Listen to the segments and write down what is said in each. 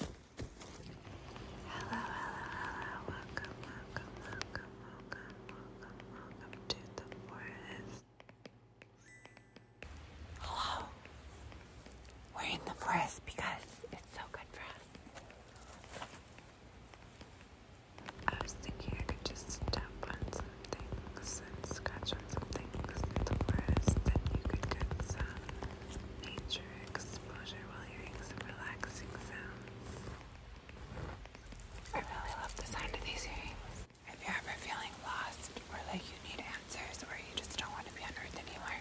Hello, hello, hello. Welcome, welcome, welcome, welcome, welcome, welcome to the forest. Hello. We're in the forest because it's so good for us. I was thinking I could just tap on some things and scratch on some things in the forest, then you could get some nature exposure while hearing some relaxing sounds. I really love the sound of these earrings. If you're ever feeling lost or like you need answers or you just don't want to be on earth anymore,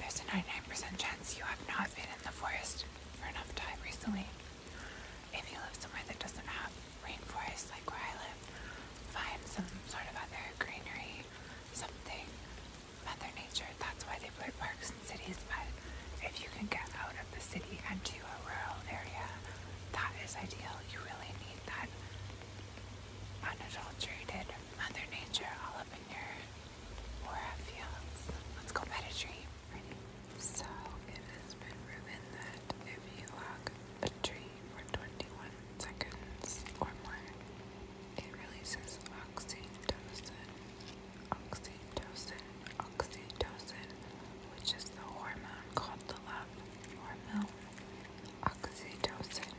there's a 99% chance you have not been in the forest for enough time recently. If you live somewhere that doesn't have rainforest like where I live, find some sort of other greenery, something, Mother Nature. That's why they put parks in cities, but if you can get out of the city and to a rural area, that is ideal. You really need that unadulterated Mother Nature all up in your aura fields. Let's go pet a tree. So it has been proven that if you log a tree for 21 seconds or more. It releases oxytocin, oxytocin, oxytocin, which is the hormone called the love hormone. Oxytocin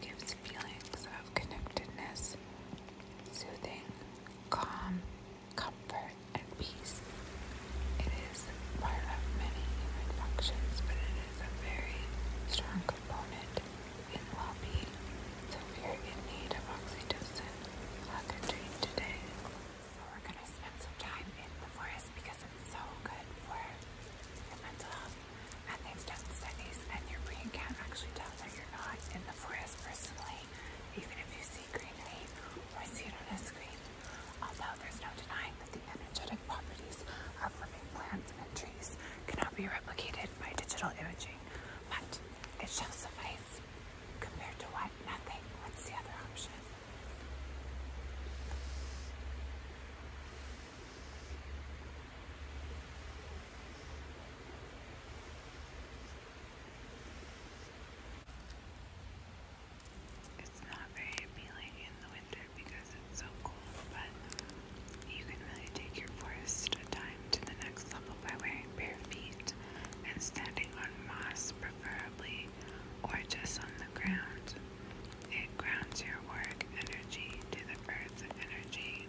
gives feelings of connectedness, soothing, calm, comfort, and peace disease. It is part of many human functions, but it is a very strong component in well-being. So if you're in need of oxytocin, I'll treat today. So we're going to spend some time in the forest because it's so good for your mental health. And they've done studies and your brain can't actually tell that you're not in the forest personally, even if you see greenery or see it on a screen. Although there's no denying that the energetic properties of living plants and trees cannot be replicated by digital imaging, but it shall suffice. Compared to what? Nothing. What's the other option? It's not very appealing in the winter because it's so cold, but you can really take your forest time to the next level by wearing bare feet and standing on moss, preferably, or just on the ground. It grounds your work energy to the earth's energy.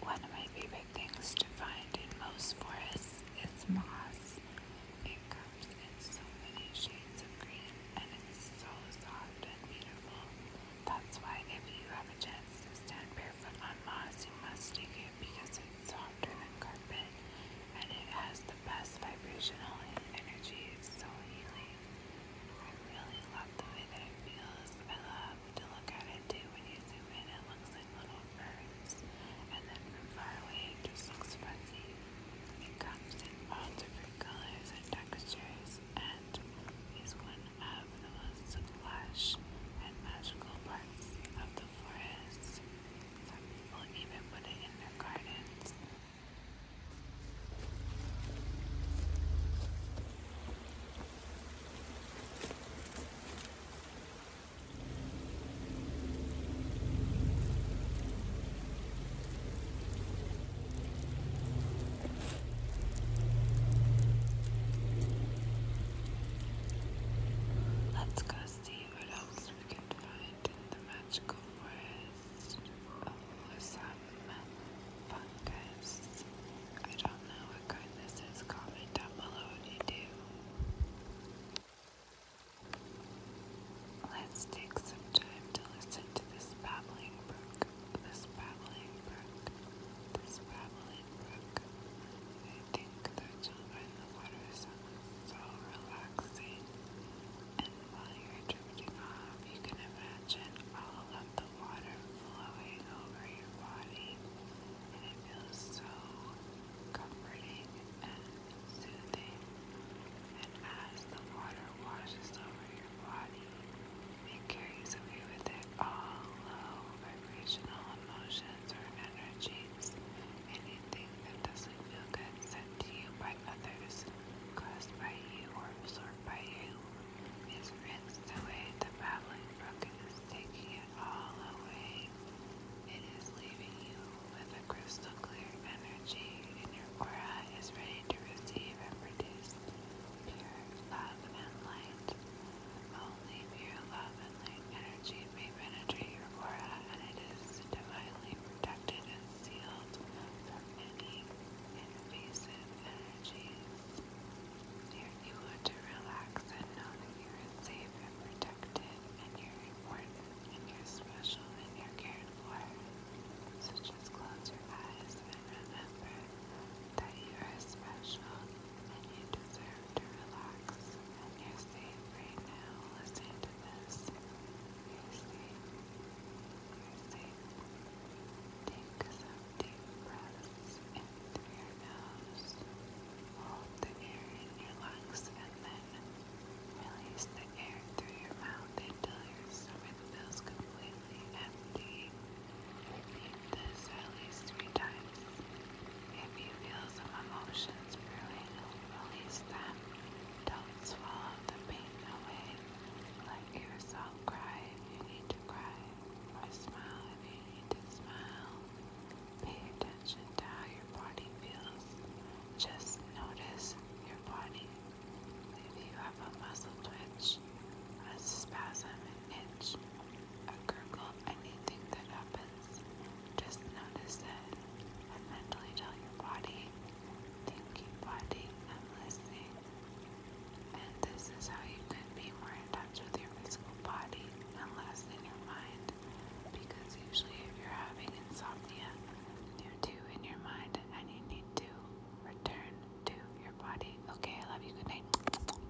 One of my favorite things to find in most forests is moss. It comes in so many shades of green and it's so soft and beautiful. That's why if you have a chance to stand barefoot on moss, you must take it because it's softer than carpet and it has the best vibrational energy. It's so healing. I really love the way that it feels. I love to look at it too. When you zoom in, it looks like little birds. And then from far away, it just looks fuzzy. It comes in all different colors and textures and is one of the most lush and magical parts of the forest. Some people even put it in their gardens Let's go see what else we can find lived in the magical forest of Lusama fungus. I don't know what kind this is. Comment down below if you do. Let's take some time to listen to this babbling brook. This babbling brook. This babbling brook. I think the children in the water sounds so relaxing. And while you're drifting off, you can imagine all of the water flowing over your body, and it feels so comforting and soothing. And as the water washes over your body, it carries away with it all low vibrational emotions or energy believes. Anything that doesn't feel good sent to you by others, caused by you, or absorbed by you, is rinsed away. The babbling brook is taking it all away. It is leaving you with a crystal clear energy, and your aura is ready to receive and produce pure love and light. Only pure love and light energy it penetrate your aura, and it is divinely protected and sealed from any invasive energies. Here you want to relax and know that you are safe and protected, and you're important, and you're special, and you're cared for. So just close your eyes and remember that you are special, and you deserve to relax relax, and you right now. Listen to this. You're safe. you Take some deep breaths in through your nose. Hold the air in your lungs and then release the air through your mouth until your stomach feels completely empty. Repeat this at least three times. If you feel some emotions brewing, release them. Don't swallow the pain away. Let yourself cry if you need to cry, or smile if you need to smile. Pay attention to how your body feels. Just notice your body. If you have a muscle twitch, a spasm, an itch, a gurgle, anything that happens. Just notice it mentally tell your body, thank body, I'm listening. And this is how you can be more in touch with your physical body and less in your mind. Because usually, if you're having insomnia, you're too in your mind and you need to return to your body. Okay, I love you. Good night.